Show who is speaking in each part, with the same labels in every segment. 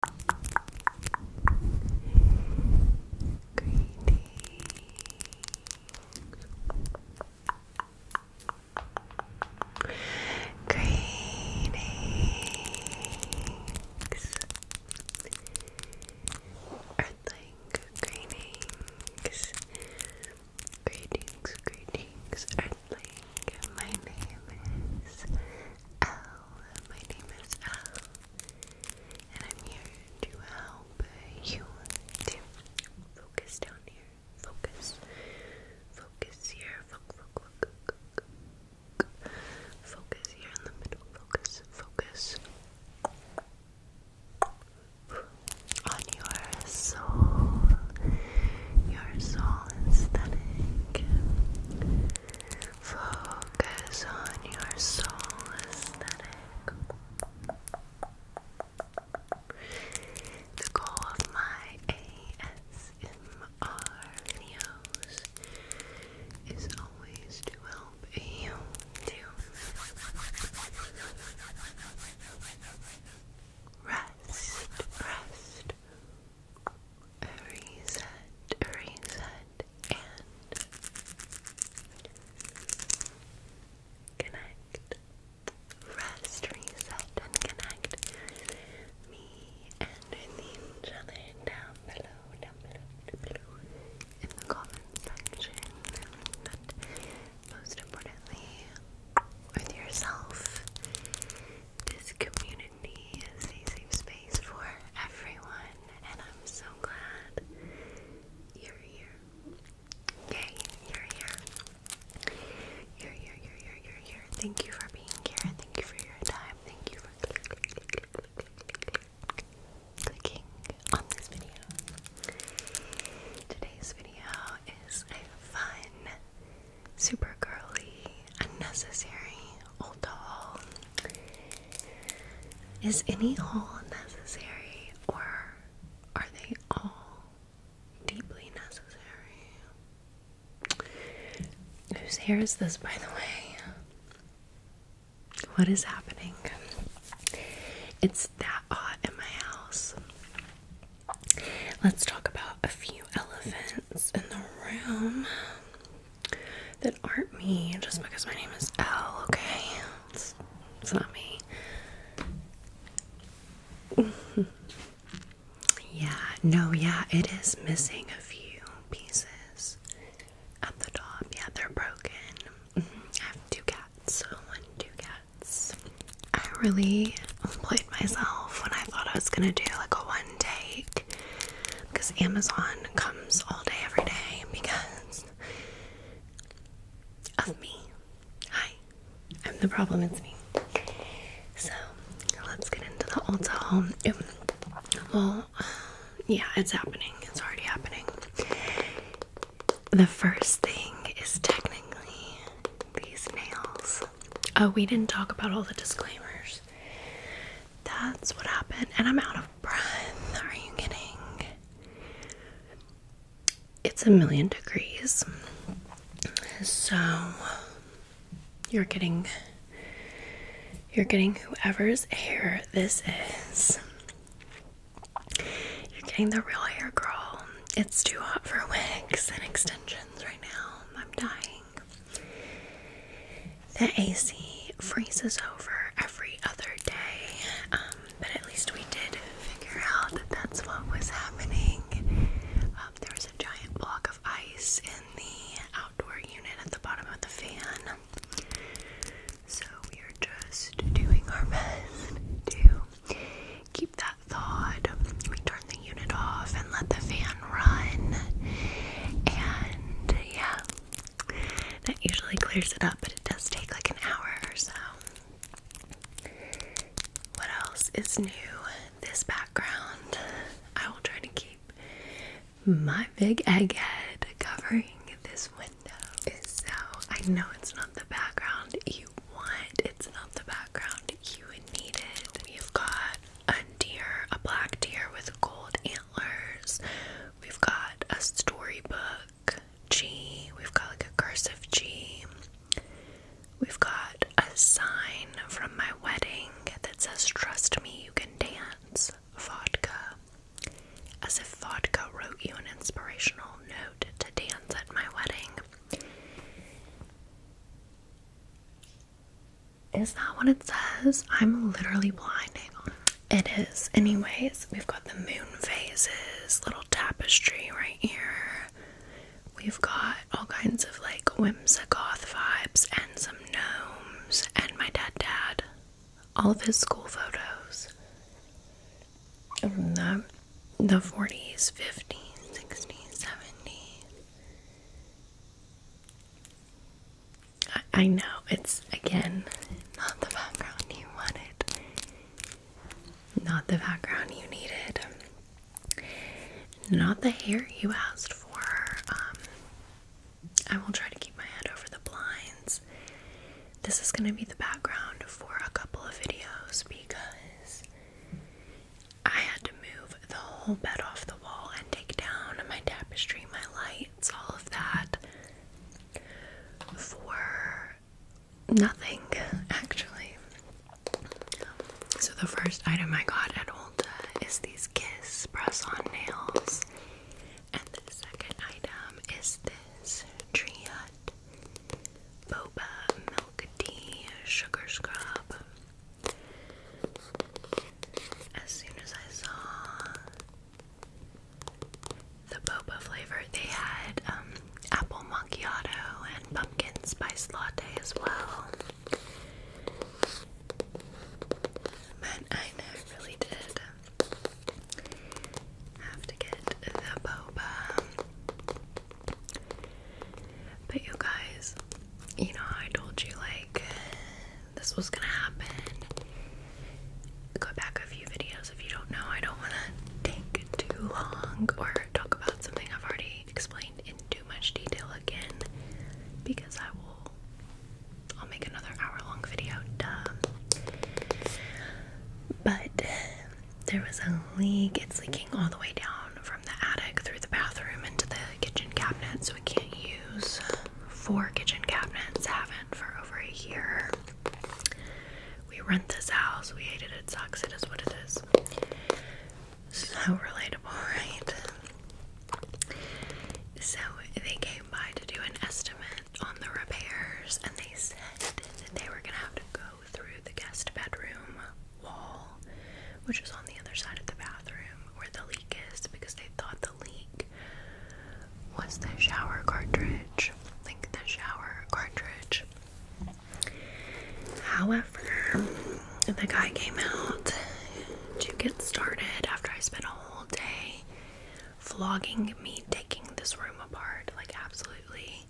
Speaker 1: Greetings. Earthling, greetings. Greetings, greetings, Earthling. My name is L my name is Al, and I'm here to help you to focus down here. Focus, focus here. Focus, focus, focus here in the middle. Focus, focus on your soul. Your soul aesthetic. Focus on your soul aesthetic. The goal of my ASMR videos is always to help you to rest, rest, reset, reset, and connect. Rest, reset, and connect me and each other down below, down below, down below in the comment section. But most importantly, with yourself, this community community a safe space for everyone, and I'm so glad you're here. Yay, you're here. You're here, you're here, you're Thank you for being here. Thank you for your time. Thank you for click, clicking on this video. Today's video is a fun, super girly, unnecessary old doll is any haul necessary or are they all deeply necessary? Whose hair is this, by the way? What is happening? It's that hot in my house. Let's talk about a few elephants in the room that aren't me just because my name is Al, okay? It's, not me. yeah, no, yeah, it is missing a few pieces at the top. Yeah, they're broken. Mm-hmm. I have two cats, one, two cats. I really played myself when I thought I was gonna do like a one take because Amazon comes all day, every day because of me. Hi, I'm the problem, it's me. So let's get into the Ulta home. Well, yeah, it's happening, it's already happening. The first thing is technically these nails. Oh, we didn't talk about all the disclaimers. That's what happened, and I'm out of breath are you getting? It's a million degrees. So you're getting you're getting whoever's hair this is. You're getting the real hair girl. It's too hot for wigs and extensions right now. I'm dying. The AC freezes over every other day, um, but at least we did figure out that that's what was happening. Um, there was a giant block of ice in the outdoor unit at the bottom of the fan, so we are just doing our best to keep that thawed. We turn the unit off and let the fan run, and yeah, that usually clears it up, but it does take like an hour or so. What else is new? This background. I will try to keep my big egg head covering this window. So I know it's not the background you want, it's not the background you needed. We've got a deer, a black deer with gold We've got a storybook G. We've got like a cursive G. We've got a sign from my wedding that says, Trust me, you can dance. Vodka. As if vodka wrote you an inspirational note to dance at my wedding. Is that what it says? I'm literally blinding. It is. Anyways, we've got the moon phases, little tapestry right here. We've got all kinds of like goth vibes and some gnomes and my dad dad. All of his school photos. From the the 40s, 50s, 60s, 70s. I, know it's again not the background you wanted, not the background you needed, not the hair you asked for. Um, I will try to keep my head over the blinds. This is going to be the background for a couple of videos because I had to move the whole bed off the wall and take down my tapestry, my lights, all of that for nothing actually. So the first item I got at Ulta is these Kiss press-on nails, and the second item is this Tree Hut Boba Milk Tea Sugar Scrub. As soon as I saw the boba flavor. They had um, apple macchiato and pumpkin spice latte as well. Man, I know, really did have to get the boba. But you guys, you know, I told you like this was gonna happen. Go back a few videos if you don't know. I don't want to take too long or talk about something I've already explained in too much detail again because I will. I'll make another hour long video. Duh. But there was a leak. It's leaking all the way down from the attic through the bathroom into the kitchen cabinet, so we can't use four kitchen cabinets, haven't for over a year. We rent this house, we hate it, it sucks, it is what it is. So relatable, right? So they came by to do an estimate on the repairs and they said that they were gonna have to go through the guest bedroom wall, which is on the other side of the bathroom where the leak is, because they thought the leak was the shower cartridge. think the shower cartridge. However, the guy came out to get started after I spent a whole day flogging me, taking this room apart, like absolutely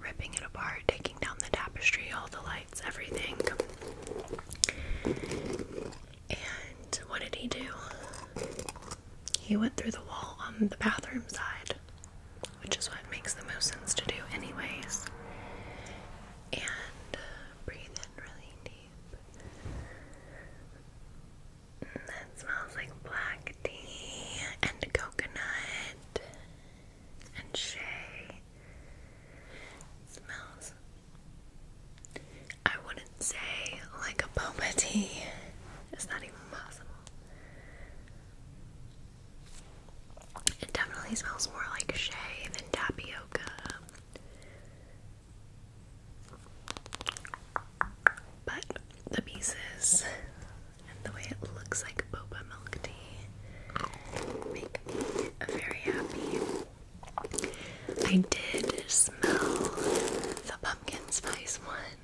Speaker 1: ripping it apart, taking down the tapestry, all the lights, everything. And what did he do? He went through the wall on the bathroom side, which is what makes the most sense to do, anyways. And uh, breathe in really deep. That smells like black tea and coconut and shea. It smells I wouldn't say like a boba tea. It's not even possible. It definitely smells more like shea than tapioca. But the pieces and the way it looks like boba milk tea make me very happy. I did smell the pumpkin spice one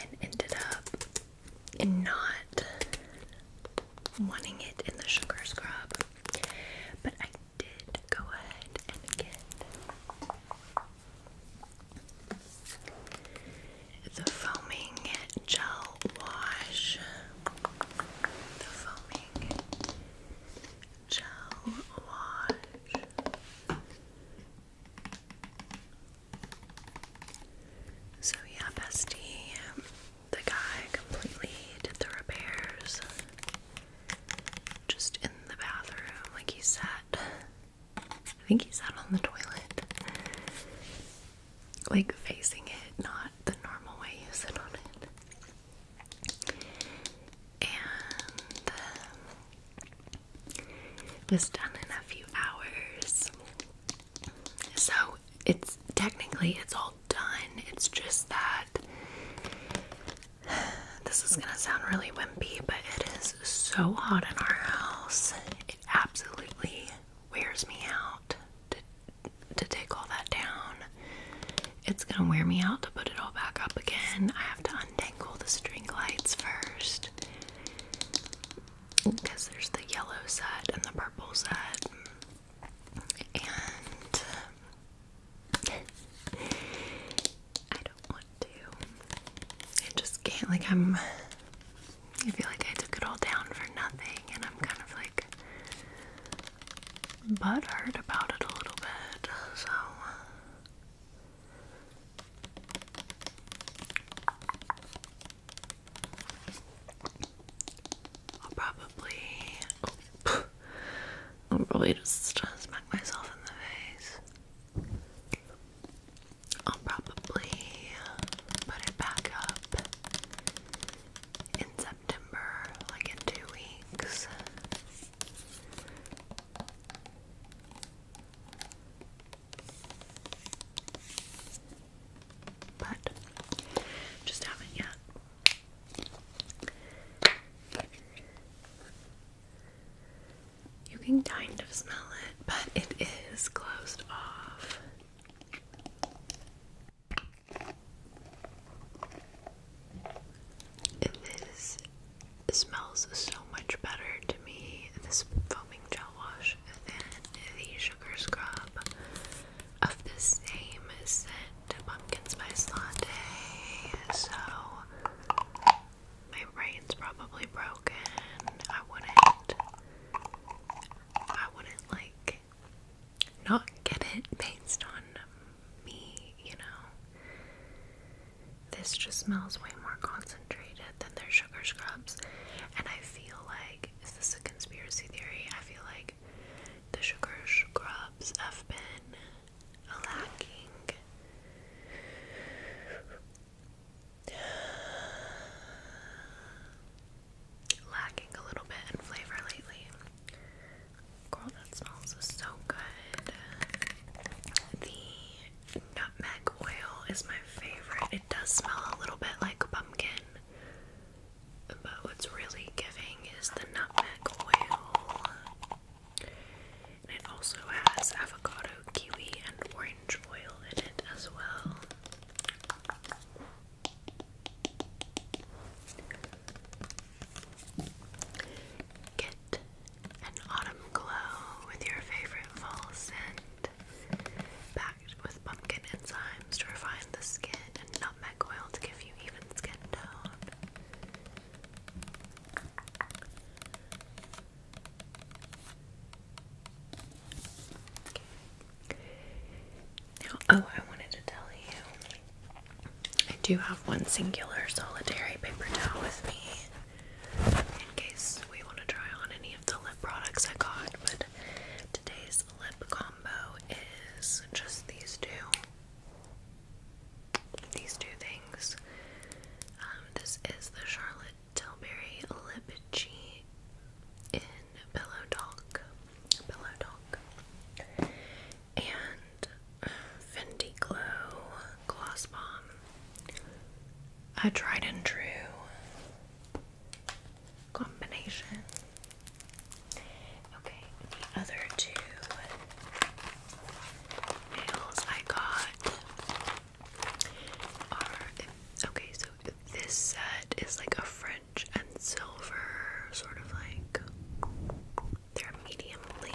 Speaker 1: and ended up in not wanting it in the sugar scrub, but I did go ahead and get the foaming gel wash. So yeah, bestie, the guy completely did the repairs just in the bathroom. Like he sat, I think he sat on the toilet, like facing it, not the normal way you sit on it and was uh, done in a few hours. So it's technically it's all done. It's just that this is gonna sound really wimpy, but it is so hot in our house. It absolutely wears me out to to take all that down it's gonna wear me out to put it all back up again. I have to untangle the string lights first because there's the yellow set and the purple set, and I don't want to. I just can't. Like I'm, I feel like I took it all down for nothing, and I'm kind of like hurt about it a little bit. So I'll probably oh, I'll probably just smack myself in the face. I'll probably put it back up in September, like in two weeks. But just haven't yet. You can kind of smell it, but it is closed off. It is it smells so much better to me, this foaming gel wash, than the sugar scrub of the same scent, pumpkin spice latte. So, my brain's probably broken. I wouldn't, I wouldn't like not get it based on me, you know. This just smells way more concentrated than their sugar scrubs. And I feel like, is this a conspiracy theory? I feel like the sugar scrubs have been lacking. Lacking a little bit in flavor lately. Girl, that smells so good. The nutmeg oil is my favorite. It does smell a little bit like pumpkin, but what's really giving is the nutmeg oil. And it also has avocado, kiwi, and orange oil in it as well. Get an autumn glow with your favorite fall scent, packed with pumpkin enzymes to refine the skin and nutmeg oil to give you even skin tone. oh, I wanted to tell you. I do have one singular solitary paper towel with me in case we want to try on any of the lip products I got. But today's lip combo is just these two. These two things. Um, this is the Charlotte Tilbury Lip Cheat in Pillow Talk. Pillow Talk. And Fenty Glow Gloss Bomb a tried and true combination. Okay, the other two nails I got are okay, so this set is like a French and silver sort of like they're medium link.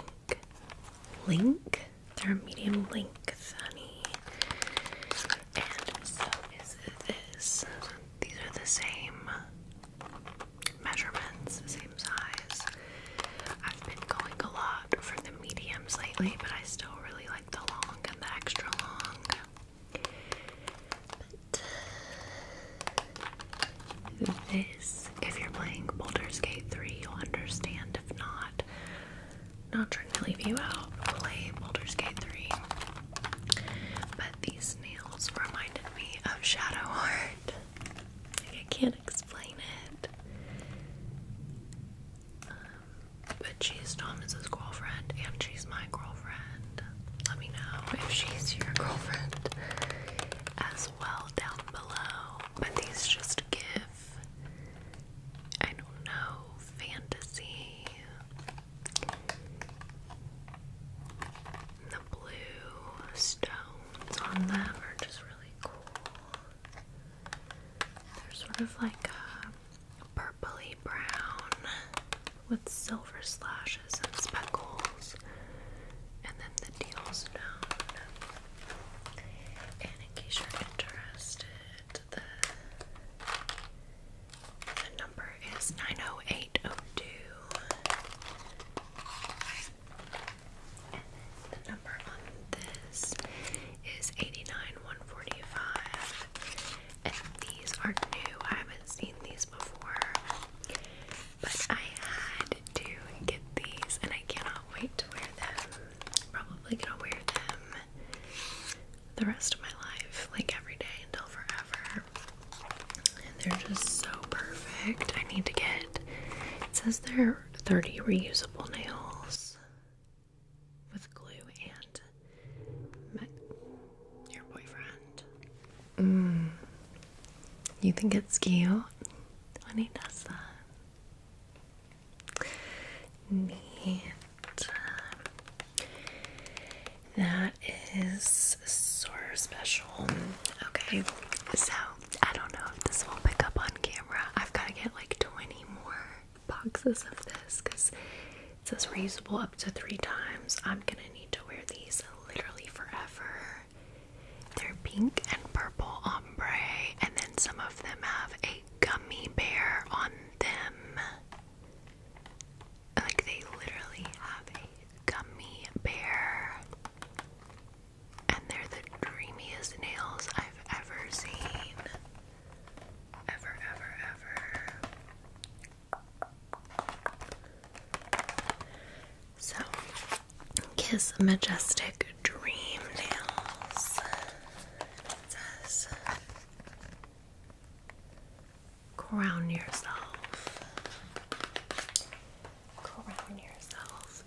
Speaker 1: Link? They're medium length, honey. And so is this. These are the same measurements, same size. I've been going a lot for the mediums lately, but I still really like the long and the extra long. But this, if you're playing Boulder's Gate 3, you'll understand if not, not trying to leave you out. Play Baldur's Gate 3. But these nails reminded me of Shadow Heart. I can't explain it. Um, but she's Thomas's girlfriend, and she's my girlfriend. Let me know if she's your girlfriend as well down below. But these just give I don't know, fantasy. The blue stones on them are just really cool. They're sort of like a uh, purpley brown with silver slashes and speckles, and then the deal stone in case you're interested, the, number is 90802. the number on this is 89145. And these are new. I haven't seen these before. But I had to get these and I cannot wait to wear them probably gonna wear them the rest of my life, like every day until forever. And they're just so perfect. I need to get it says they're 30 reusable nails with glue and your boyfriend. Mm. You think it's cute I need does that? Neat. That is so special. Okay, so I don't know if this will pick up on camera. I've got to get like 20 more boxes of this because it says reusable up to three times. I'm gonna need to wear these literally forever. They're pink and purple ombre, and then some of them have a gummy bear on them. Like they literally have a gummy bear. And they're the dreamiest nails I've ever seen. Ever, ever, ever. So, Kiss Majestic Dream Nails. It says, Crown yourself. Crown yourself.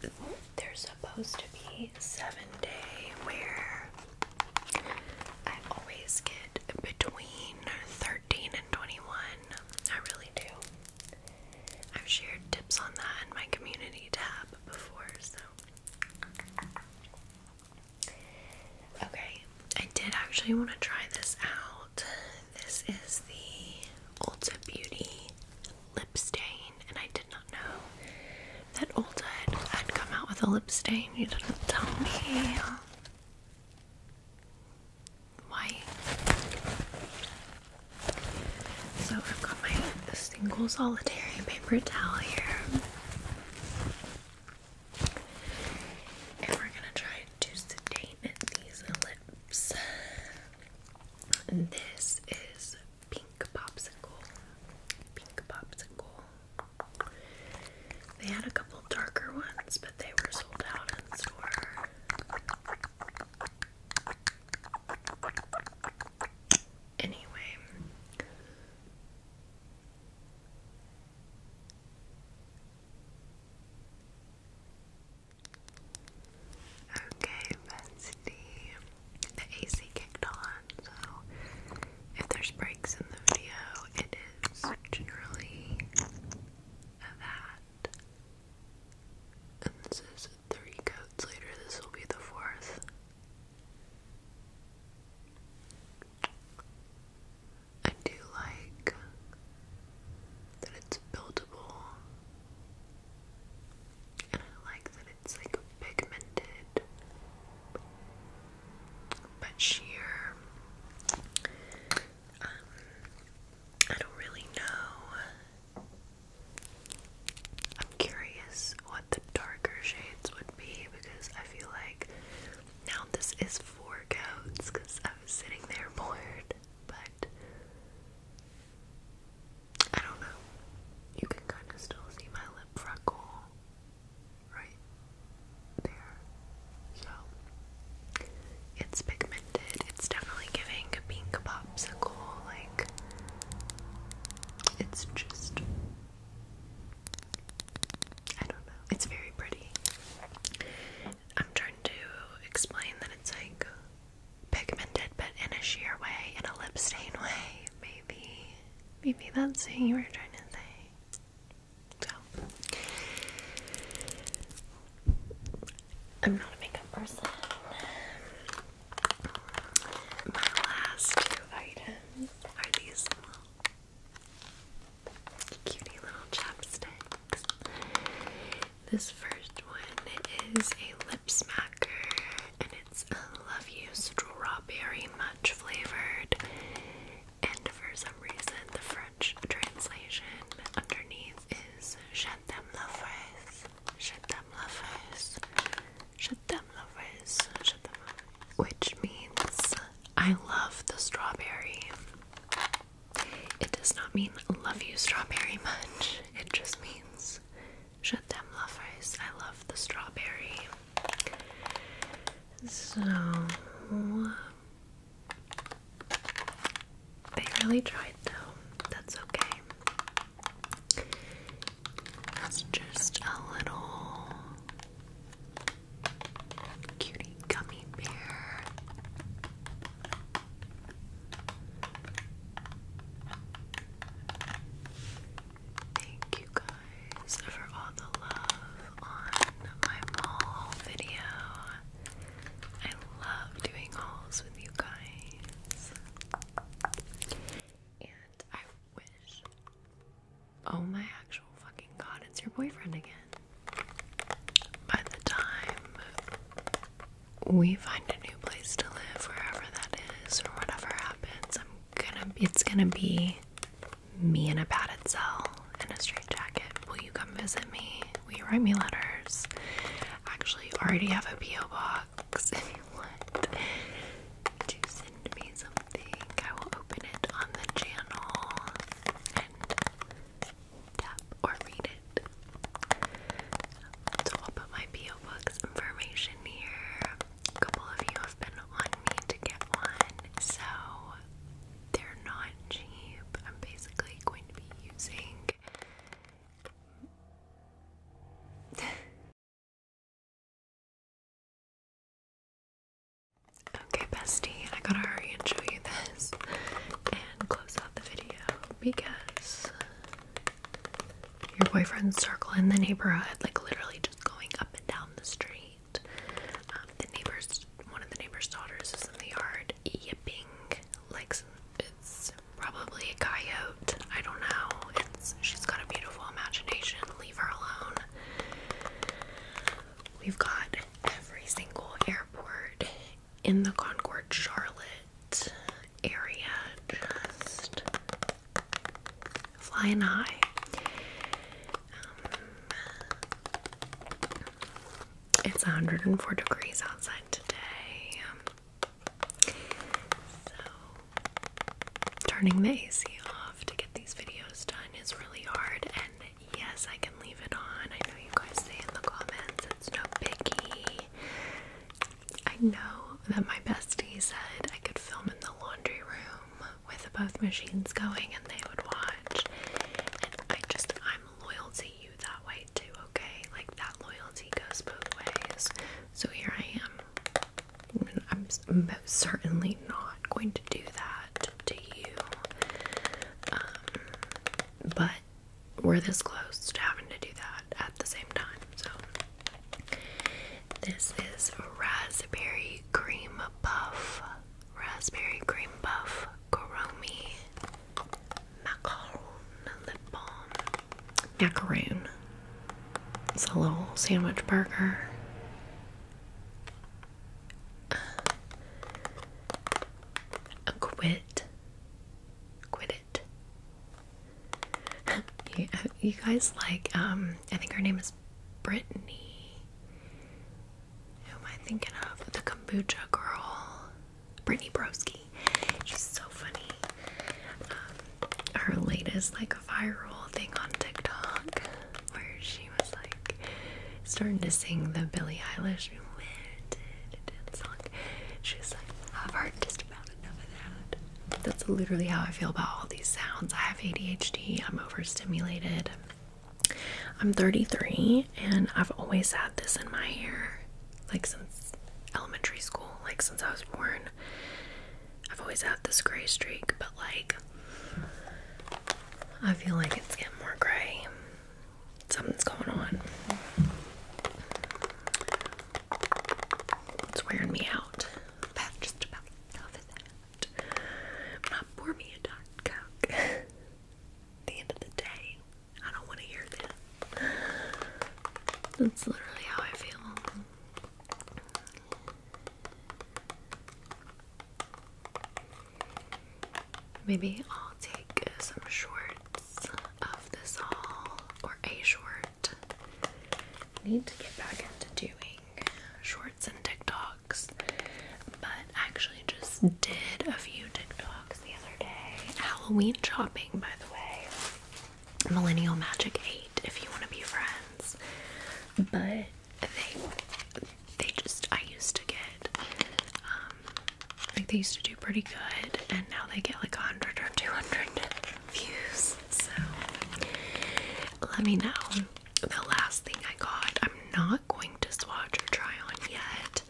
Speaker 1: They're supposed to be seven day wear. I always get between 13 and 21. I really do. I've shared tips on that in my community tab before, so Okay, I did actually want to try this out. This is the Ulta Beauty lip stain, and I did not know that Ulta had, come out with a lip stain. You didn't tell me. Why? So I've got my single solitary paper towel here. And we're gonna try to sedate these lips. this is Pink Popsicle. Pink Popsicle. They had a couple darker ones, but they were sold out in store. Anyway. Okay, bestie. The AC kicked on, so if there's breaks in the video, it is generally that. And this is three coats later, this will be the fourth. I do like that it's buildable, and I like that it's like pigmented but sheer. Um, I don't really know I'm curious what the darker shades would be because I feel like now this is four coats because I was sitting there bored, but I don't know. You can kind of still see my lip freckle right there. So it's pigmented. It's definitely giving a pink popsicle, like it's just I don't know. It's very pretty. I'm trying to explain that it's like pigmented but in a sheer way, in a lip stain way, maybe. Maybe that's what you were trying to say. So I'm not a makeup person. My last two items are these cutie little chapsticks. This first one is a lip smacker and it's a love you strawberry much flavored. And for some reason the French translation underneath is J'aime la fraise. J'aime which means I love the strawberry. It does not mean love you strawberry much. It just means shut them lovers. I love the strawberry. So they really tried though. That's okay. It's just a little cutie gummy bear. Thank you guys for all the love on my mall video. I love doing hauls with you guys. And I wish Oh my actual fucking god, it's your boyfriend again. By the time we find a new place to live, wherever that is, or whatever happens, I'm gonna, it's gonna be me in a padded cell in a straight jacket. Will you come visit me? Will you write me letters? Actually, already have a P.O. box. if you want to send me something. I will open it on the channel and tap or read it. So I'll put my P.O. box information here. A couple of you have been on me to get one, so they're not cheap. I'm basically going to be using Okay, bestie, I gotta hurry and show you this and close out the video because your boyfriend's circle in the neighborhood, like literally just going up and down the street. Um, the neighbor's, one of the neighbor's daughters is in the yard yipping like it's probably a coyote I don't know. she's got a beautiful imagination. Leave her alone. We've got every single airport in the Concord Charlotte area just flying high. Um, it's 104 degrees outside today. So turning the AC off to get these videos done is really hard, and yes, I can leave it on. I know you guys say in the comments it's no biggie. I know that my bestie said I could film in the laundry room with both machines going and they would watch. And I just, I'm loyal to you that way too, okay? Like that loyalty goes both ways. So here I am I'm most certainly not going to do that to you. Um, but we're this close to having to do that at the same time. So, this is raspberry cream puff, raspberry cream puff, Koromi macaron lip balm, macaroon it's a little sandwich burger. Uh, quit. Quit it. you, guys like, um, I think her name is Brittany. Who am I thinking of? The kombucha girl. Brittany Broski. She's so funny. Um, her latest like viral thing on TikTok where she was like starting to sing the Billie Eilish dance song. She was like, I've heard just about enough of that. That's literally how I feel about all these sounds. I have ADHD, I'm overstimulated. I'm 33 and I've always had this in my hair like since elementary school, like since I was born. I've always had this gray streak, but like I feel like it's getting more gray. Something's going on. It's wearing me out. just about over At the end of the day, I don't want to hear that. That's literally how I feel. Maybe I'll take some shorts of this haul or a short. Need to get back into doing shorts and TikToks, but actually just did a few TikToks the other day. Halloween chopping, by the way. Millennial Magic 8, if you want to be friends. But they they just I used to get like um, they used to do pretty good and now they get like 100 or 200 views so let me know the last thing I got I'm not going to swatch or try on yet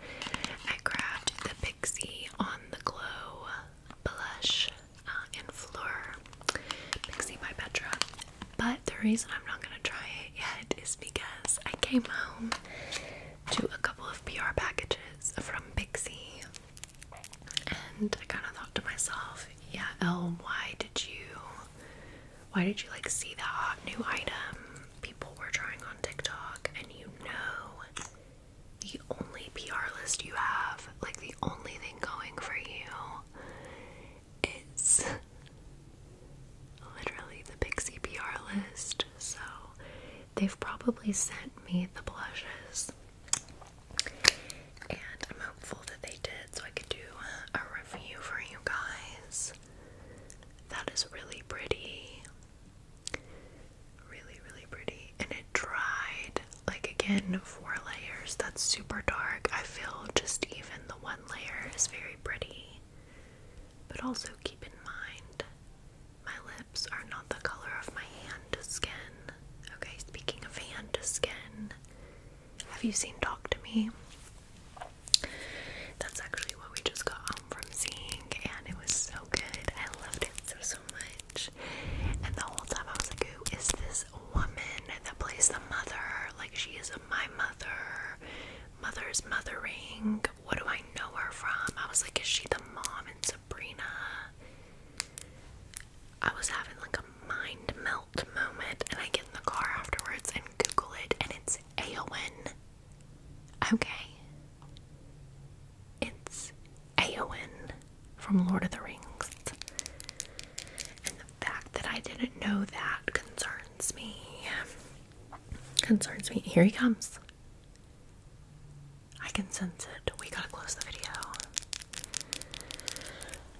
Speaker 1: I grabbed the Pixie on the glow blush uh, and Fleur Pixie by Petra. But the reason I'm not gonna try it yet is because I came home to a couple of PR packages from Pixie, and I kind of thought to myself, "Yeah, Elle, did you, why did you like see that hot new item people were trying on TikTok, and you know?" The only PR list you have, like the only thing going for you, it's literally the Pixie PR list, so they've probably sent me the blushes. And I'm hopeful that they did so I could do a review for you guys. That is really pretty. Really, really pretty. And it dried. Like, again, four layers. That's super dark. I feel just even the one layer is very pretty. But also keep in mind, my lips are not the color of my hand to skin. Okay, speaking of hand skin, have you seen Talk to Me? That's actually what we just got home from seeing, and it was so good. I loved it so so much. And the whole time I was like, who is this this woman that plays the mother, like she is my mother, mother's mothering. What do I know her from? I was like, is she the mom in Sabrina? I was having like a mind melt moment, and I get in the car afterwards and Google it, and it's Aowen. Okay. It's Aowen from Lord of the Rings. The fact that I didn't know that concerns me. Concerns me. Here he comes. I can sense it. We gotta close the video.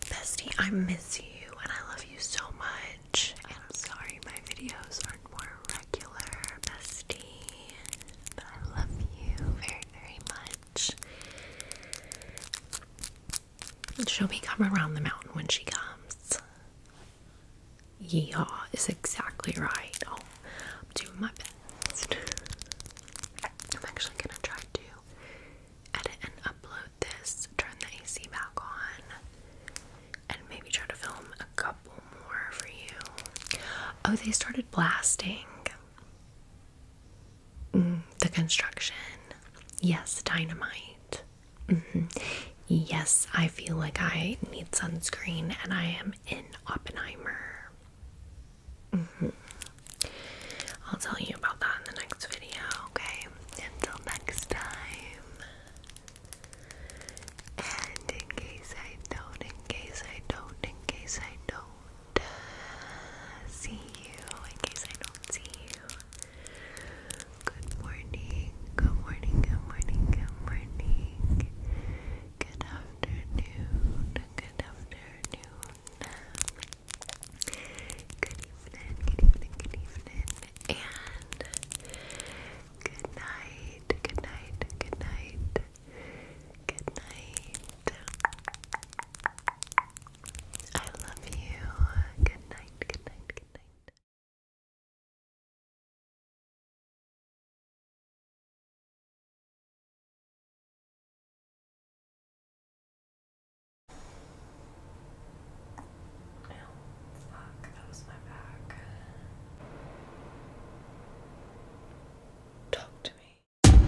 Speaker 1: Bestie, I miss you and I love you so much. I'm sorry my videos aren't more regular, bestie. But I love you very, very much. She'll be come around the mountain when she comes. Yeehaw is exactly right. Oh, I'm doing my best. I'm actually gonna try to edit and upload this, turn the AC back on, and maybe try to film a couple more for you. Oh, they started blasting. Mm, the construction. Yes, dynamite. Mm-hmm. Yes, I feel like I need sunscreen and I am in Oppenheimer. Mm-hmm. I'll tell you about that in the next video, okay? Until next time. And in case I don't, in case I don't, in case I don't uh, see you, in case I don't see you. Good morning, good morning, good morning, good morning. Good afternoon, good afternoon. Good evening, good evening, good evening. And good night, good night, good night, good night. I love you. Good night, good night, good night. Ow, fuck, that was my back. Talk to me.